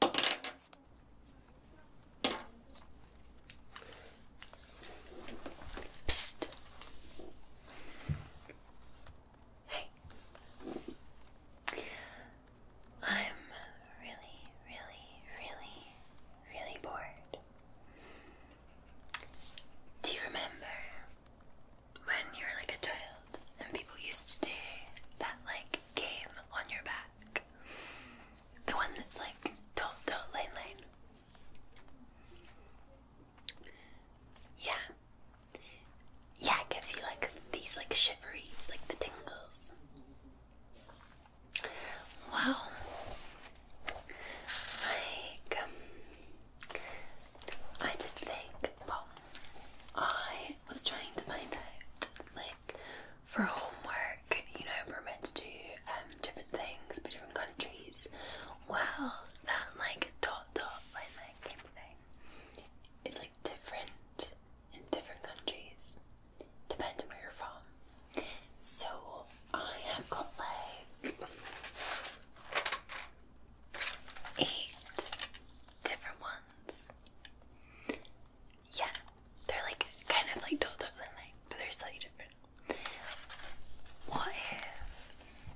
I'm really, really, really, really bored. Do you remember when you were like a child and people used to do that like game on your back. The one that's like don't don't Yeah. Yeah, it gives you like these like shivers, like the tingles. Wow. Like um, I did think well I was trying to find out for homework, you know, we're meant to do um, different things for different countries. Well, that like dot dot line like kind is like different in different countries, depending where you're from. So I have got like eight different ones. Yeah, they're like kind of like told up but they're slightly different. What if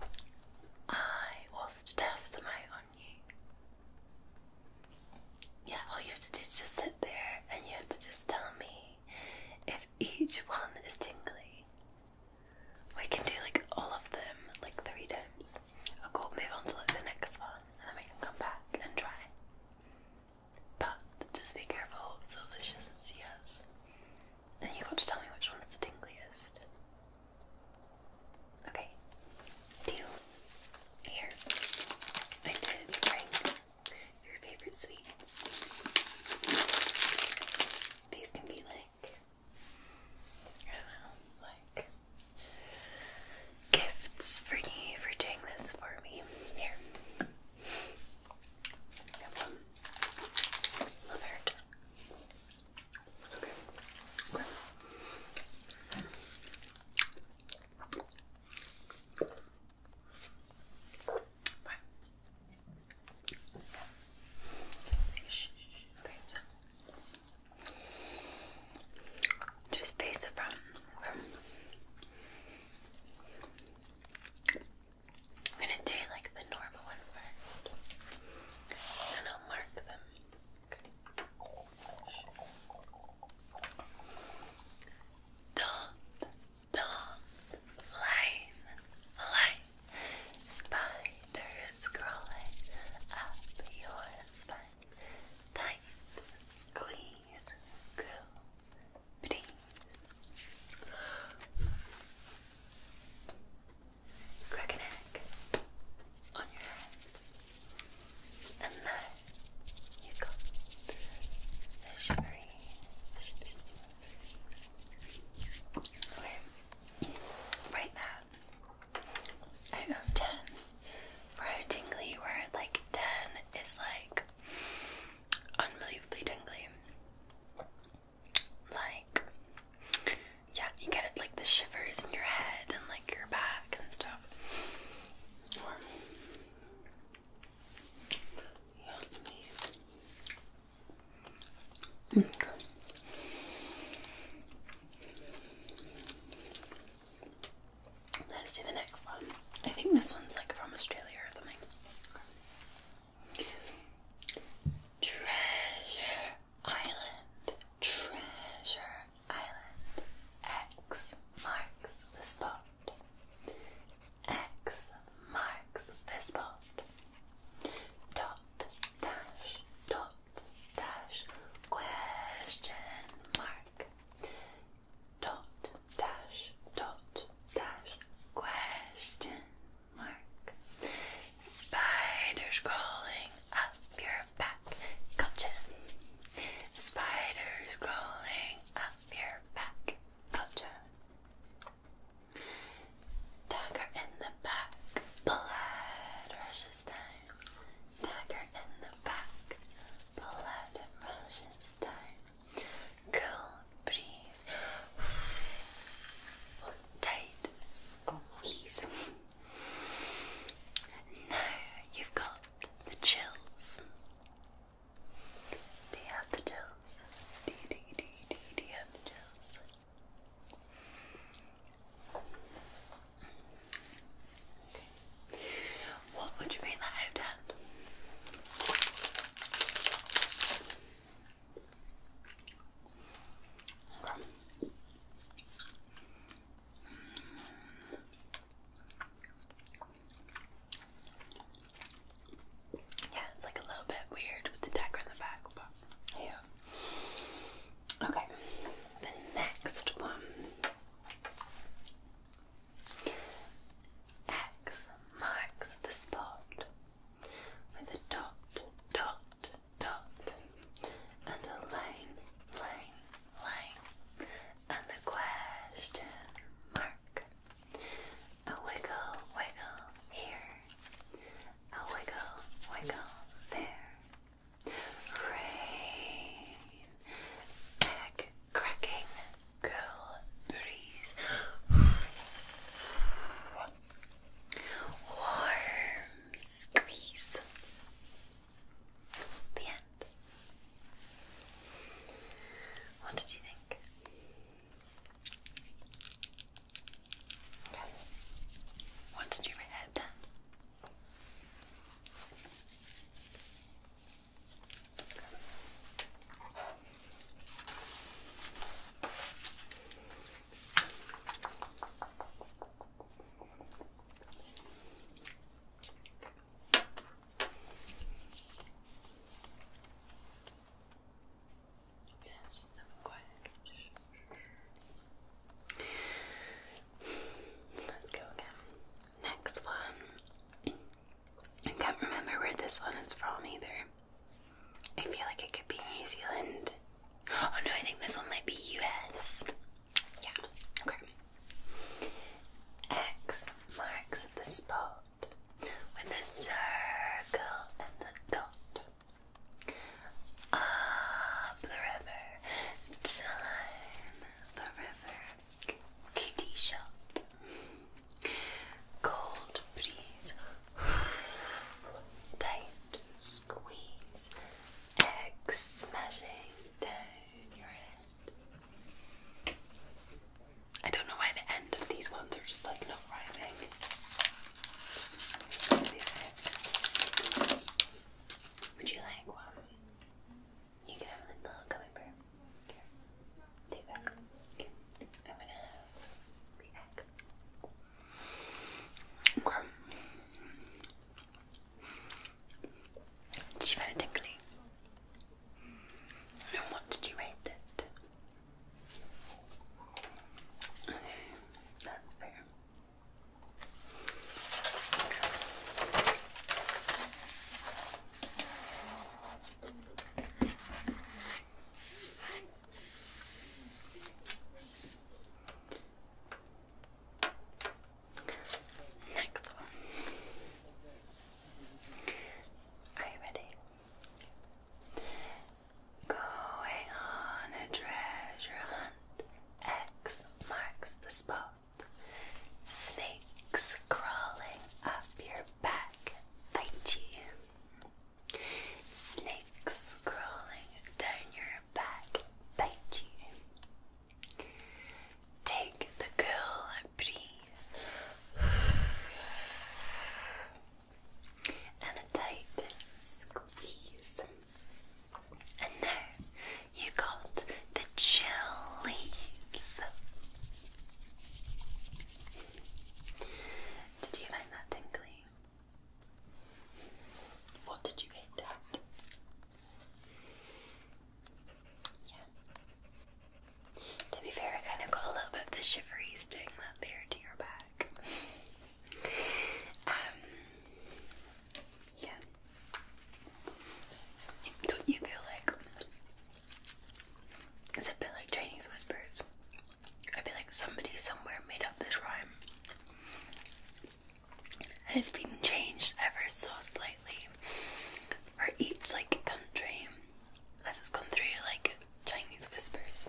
I was to test them out on you? Yeah, all you have to do is just sit there and you have to just tell me if each one is tingly. We can do like all of them like three times. I'll go move on to the next one and then we can come back and try. But just be careful so that she not see us. And you got to tell me which one's the tingliest. Okay, deal. Here, I did bring your favorite sweets. These can be like, I don't know, like gifts for you for doing this for me. Here. Have one. It's okay. okay. Bye. Okay, just face the front. I'm gonna do like the normal one first, and I'll mark them. Okay. Don't, line, line, spiders crawling up your spine, tight, go, please. Crack an egg on your head, and now you got the shivering. Okay, rate that out of ten. Where tingly, where like 10 is like unbelievably tingly. Like, yeah, you get it like the shivers in your head and like your back and stuff. Let's do the next one. I think this one's like from Australia or something. Treasure Island. Treasure Island. X marks the spot. X marks the spot. Dot dash dot dash question mark dot dash dot dash question mark. Spiders crawling up your back. Gotcha. Spiders crawling up your back. Gotcha. Dagger in the back. Blood rushes down. Dagger in the back blood rushes down. Cool breeze. Tight squeeze. Now you've got the chills. Do you have the chills? Do you, do you, do have the chills? What would you rate that out at? Okay. Yeah, it's like a little bit weird with the decker in the back, but yeah. Okay, the next one X marks the spot with a dot, dot, dot, and a line, line, line, and a question mark. A wiggle, wiggle here, a wiggle, wiggle there. Rain, egg, cracking cool breeze. Warm squeeze. The end. What did you think? What did you react then? Yes, I'm quiet. Let's go again. Next one. I can't remember where this one is from either. I feel like it could be New Zealand. Oh no, I think this one might be US. Yeah, okay. X marks the spot with a circle and a dot. Up the river, time the river. Kitty Cold breeze. Tight squeeze. Egg smashing down your head. I don't know why the end of these ones are just like not rhyming. Would you like one? You can have a little gummy take that. I'm gonna have Did you find it tingly? And what did you rate it? Okay, that's fair. Next one. Are you ready? Going on a treasure hunt. X marks the spot. Snakes crawling up your back bite you. Snakes crawling down your back bite you. Take the girl, please, and a tight squeeze. And now you got the chilies. Did you find that tingly? What did you eat? Yeah. To be fair, I kind of got a little bit of the shiveries doing that there to your back. Um, yeah. Don't you feel like it's a bit like Chinese whispers? I feel like somebody somewhere made up this rhyme. And it's been changed ever so slightly for each like country as it's gone through like Chinese whispers.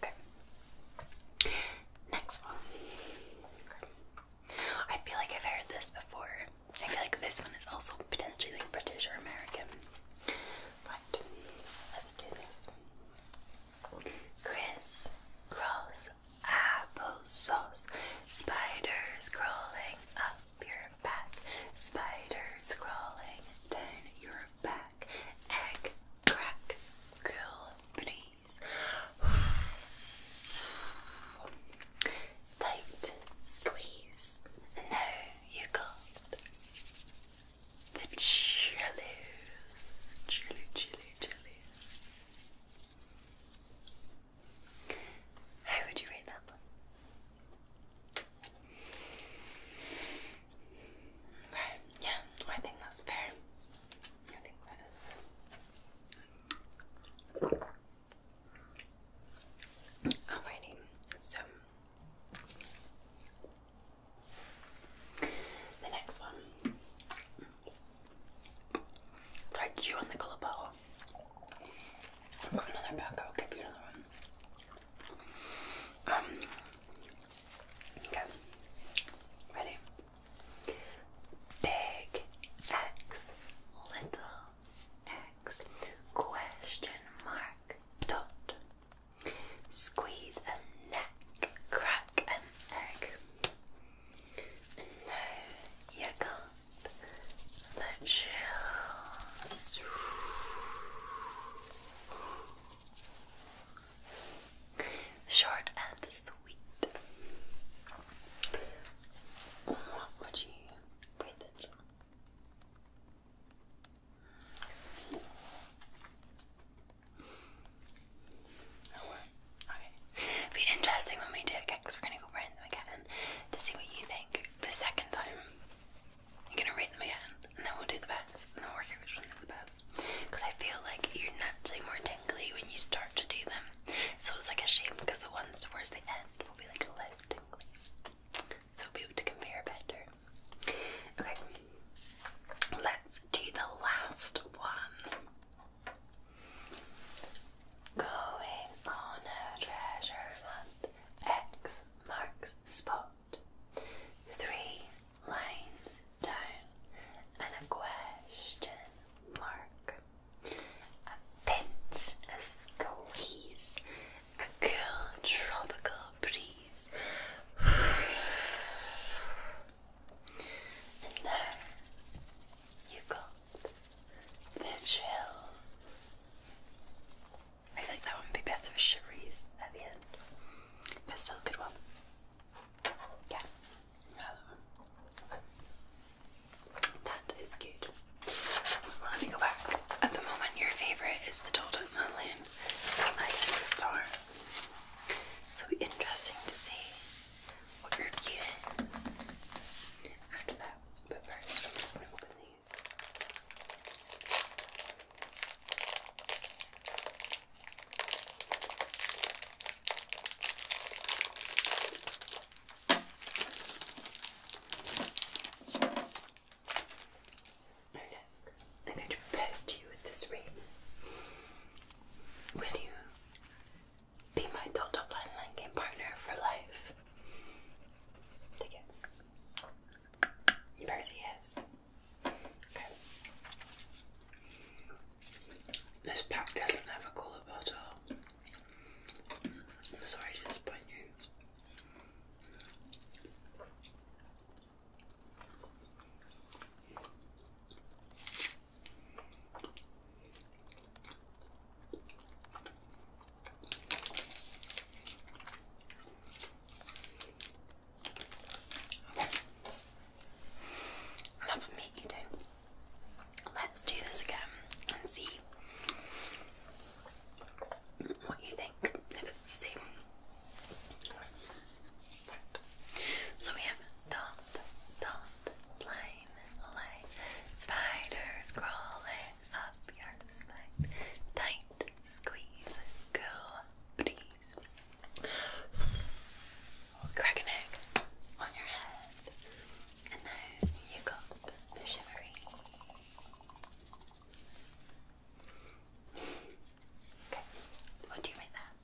Okay. Next one. I feel like I've heard this before. I feel like this one is also potentially like British or American. But let's do this. Chris crawls applesauce. Spiders crawling up your back. Spiders crawling down your back crack, egg, crack, cool, please. Tight, squeeze. No, you can The chilies, chili, chili, chilies. How would you rate that one? Okay, yeah, I think that's fair. I think that is Alrighty, so the next one. Sorry, did you want the color i will give another one. Um, Okay. Ready? Big X, little X, question mark, dot. Squeeze a neck, crack an egg. No, you got the chills. Short and sweet. What would you rate this one? Oh, okay. be interesting when we do it again because we're going to go rate them again to see what you think the second time. You're going to rate them again and then we'll do the best, and then we'll work out which one is the best. Because I feel like you're naturally more tingly when you start to do them, so it's like a shame because the ones towards the end will be like less tingly, so we'll be able to compare better. Okay, let's do the last one. Going on a treasure hunt. X marks the spot. Three lines and a question mark. A pinch, a squeeze, a cool tropical breeze. And now you got the chills. I think that one would be better with Cherise at the end, but still a good one. Yeah. That is good. let me go back. At the moment, your favourite is the Doldut Muslin. I am star. So interesting to see what your view is after that. Uh, but first, I'm just going to open these. Look, I'm going to pest you with this ring. Will you be my dot dot line line game partner for life? Take it. Percy, yes. This pack doesn't have a colour border. I'm sorry to disappoint you. Love me eating. Let's do this again and see what you think. So we have dot, dot, line, line, spiders crawling up your spine. Tight squeeze, go, crack an egg on your head. And now you got the shivery. Okay, what do you make that?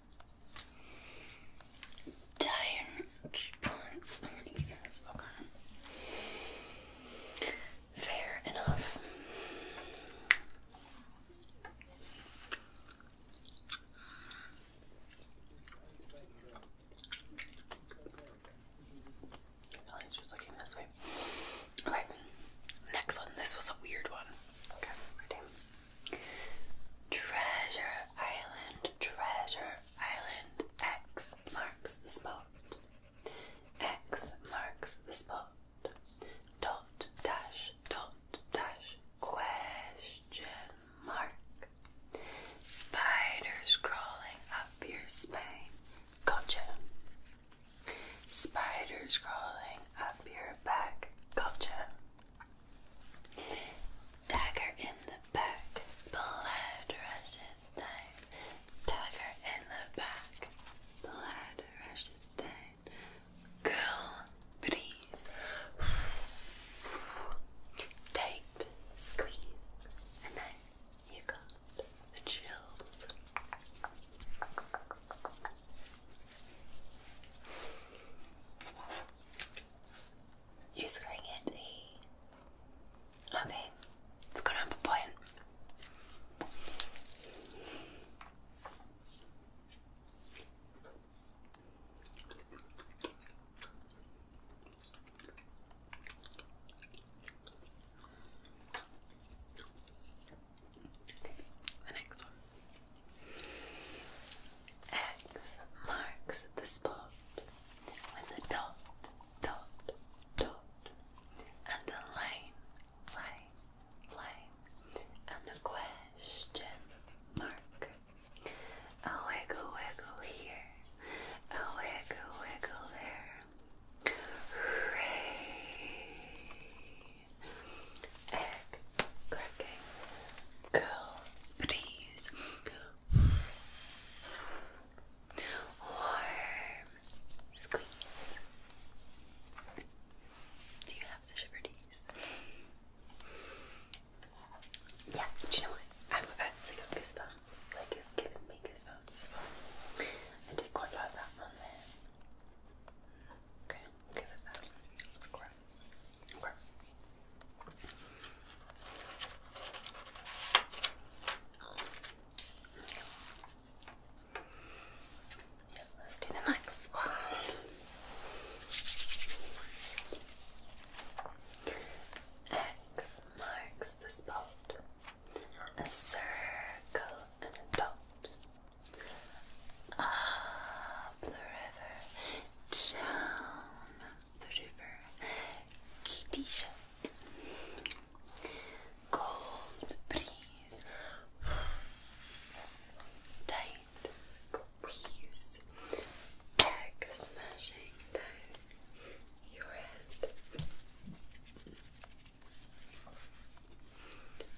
Down two okay. Fair enough. Okay, next one. This was a weird one. Treasure Island, Treasure Island. X marks the spot. X marks the spot dot dash dot dash question mark spiders crawling up your spine gotcha spiders crawling up your back gotcha dagger in the back blood rushes down dagger in the back blood rushes down Girl, please. Tight, squeeze, and then you got the chills. You're screwing it a. Okay, it's gone up a point. The next one. X marks the spot with a dot, dot, dot, and a line, line, line, a question mark. A wiggle, wiggle here, a wiggle, wiggle there. Hooray! Egg cracking, girl, breeze. Warm squeeze. you yeah, do you know what? I've actually got goosebumps. Like, it's I did quite like that one there. Okay, give it that. Let's grab it. Let's do the next one. X marks the spot. A circle and a dot. Up the river, down the river. Kitty shut. Cold breeze. Down tight squeeze, back smashing down your head.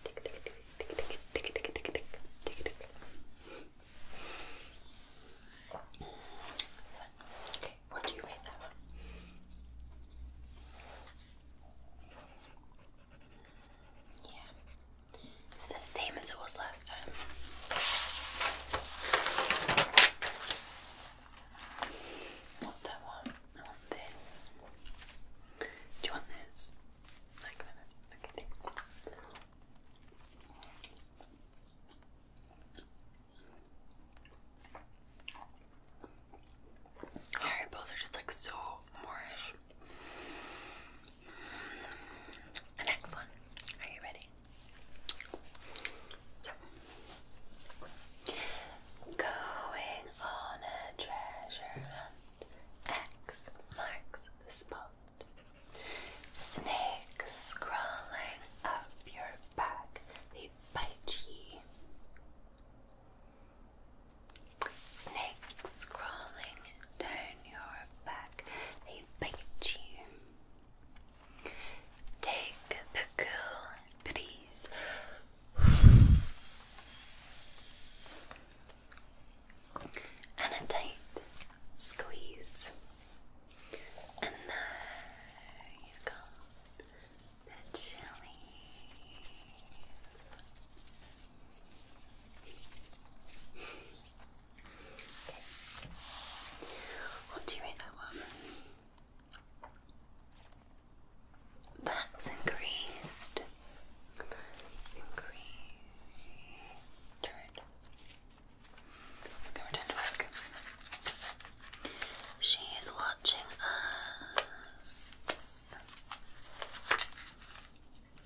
Tick, tick, tick, tick, tick, tick, tick, tick, tick, tick. Okay, what do you rate that one? Yeah, it's the same as it was last time. What do I want? I want this. Do you want this? Like okay. Harry Potter are just like so moorish. The next one. Are you ready? So, going on a treasure hunt. X marks the spot. Snakes crawling up your back. They bite ye. Snakes crawling down your back, they bite you. Take the cool breeze. And a tight squeeze. And there you go. Okay. What do you rate that one? That's increased. Increased. Turn. Let's go She is watching us.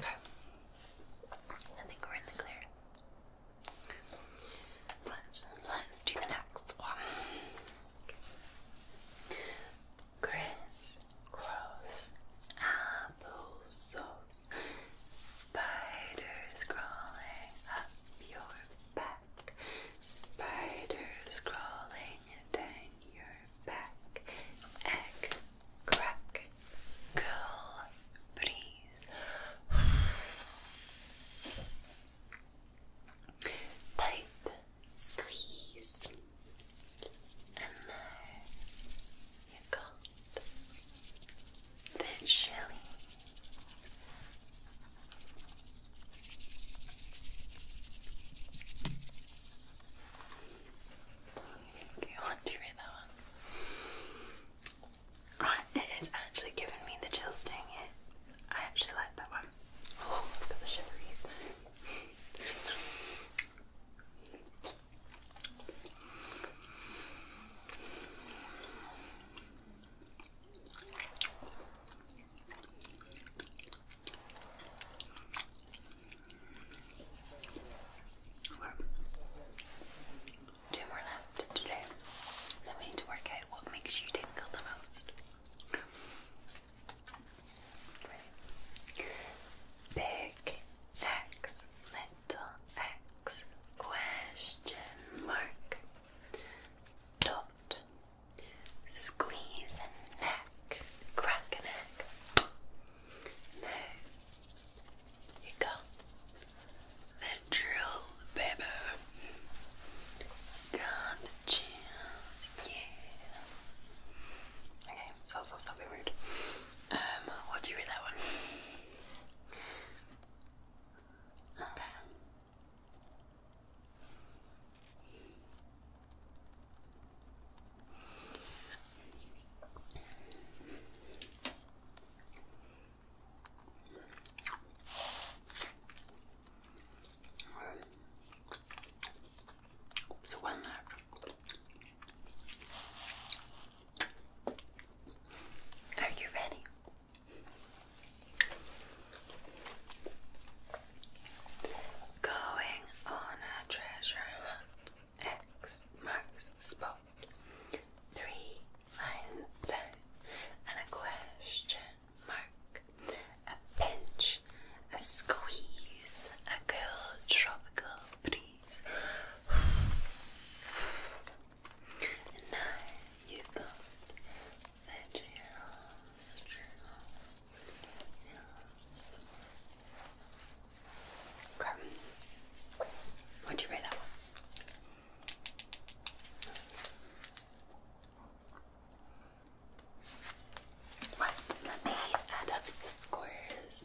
I think we're in the clear. let's do the next one. Okay. Chris Spiders crawling up your back. Spiders crawling down your back. Egg, crack, cool breeze. Tight squeeze. And now you got the chili Okay, I want that one. it is actually giving me the chills doing it. I actually like that one. Oh, I've the shiveries. Two more left today. Then we need to work out what makes you tingle the most. Big X, little X, question mark, dot, Squeeze a neck, crack a neck. No, you got the drill, baby. Got the chills, yeah. Okay, so so stop being rude. Um, what do you read that one? Okay. So when Are you ready? Going on a treasure hunt. X marks the Three lines and a question mark. A pinch, a squeeze, a cool tropical breeze. And now you've the journals, journals, journals. What'd you rate that one? Right, let me add up the scores.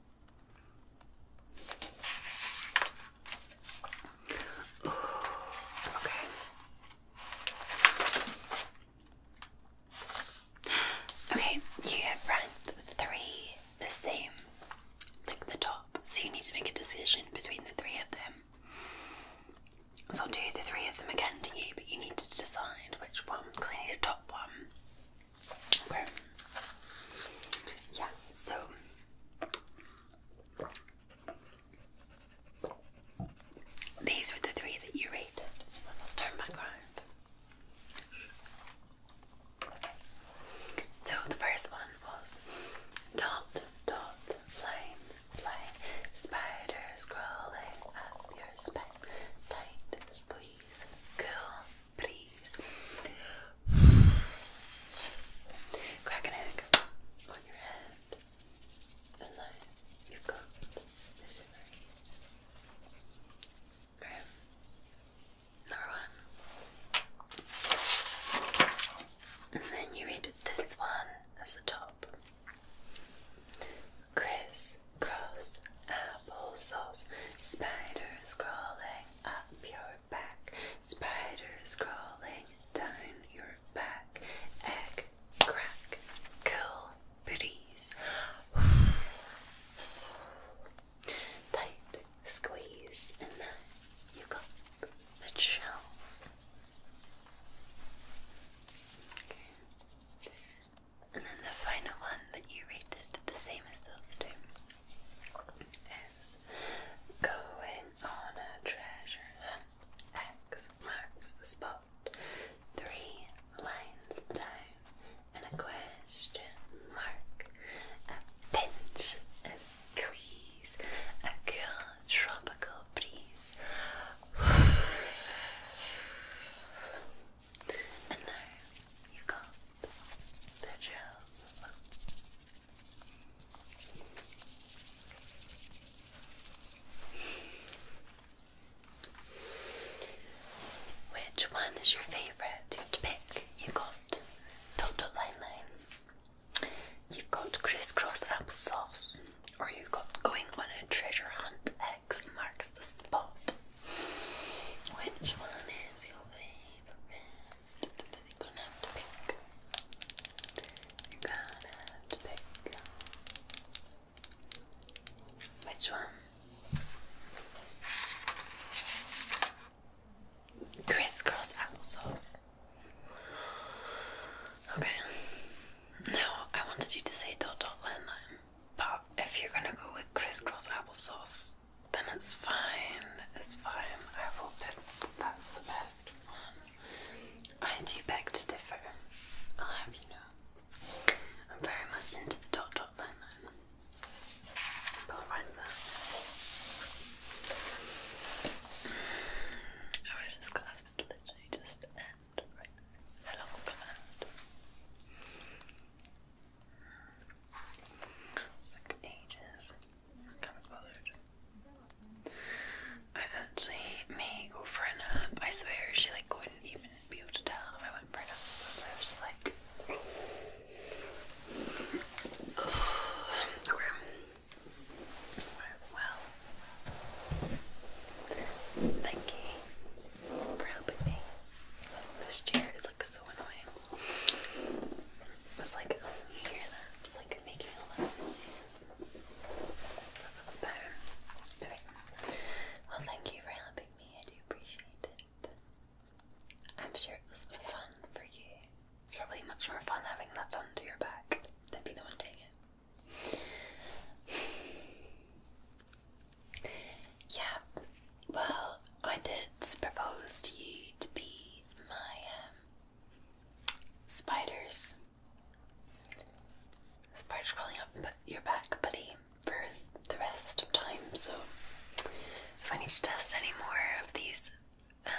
okay. Okay, you have ranked three the same, like the top, so you need to make a decision between the three of them. So I'll do the three of them again to you, but you need to decide which one, because I need a top one Okay. Yeah, so these were the three that you rated. Let's turn back around. So the first one was dot dot line line spiders crawling up your spine tight squeeze cool please. Crack an egg on your head, then you've got the shimmer. Number one. And then you rated this one as the top. Criss cross apple Spiders crawling up your back. Spiders crawling down your back. Egg crack. Cool booties. Tight squeeze, and you got the chills. Okay. And then the final one that you rated the same as those two is going on a treasure hunt. X marks the spot. Three lines down and a question mark. A pinch, a squeeze, a cool tropical breeze. and now you got which one is your favourite? You have to pick. you got dot line line. You've got crisscross applesauce, or you've got going on a treasure hunt. X marks the spot. Which one is your favourite? You're gonna have to pick. You're gonna have to pick. Which one? Crisscross applesauce. Okay. Now, I wanted you to say dot dot landline, but if you're gonna go with crisscross applesauce, then it's fine. It's fine. I will pick that's the best one. I do beg to differ. I'll have you know. I'm very much into the dot dot line line. But I'll write that. I wish this class would literally just end right now. How long it's ages. I actually may go for I swear she like wouldn't even be able to tell if I went for a nap. But I was like Okay. Well thank you for helping me. This chair is like so annoying. It's like, oh, you hear that? It's like making a lot of noise. But that's better. Okay. Well, thank you for helping me. I do appreciate it. I'm sure it was fun for you. It's probably much more fun having that done to your back than be the one doing it. Yeah, well, I did propose to you to be my um, spiders. Spiders crawling up your back, buddy, for the rest of time. So, if I need to test any more of these uh,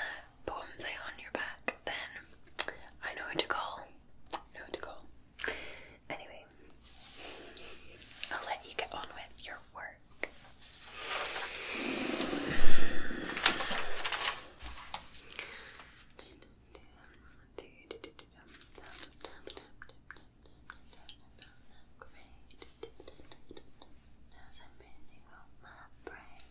poems I on your back, then I know who to call. Know who to call. Anyway, I'll let you get on with your work work. As I'm bending on my brain,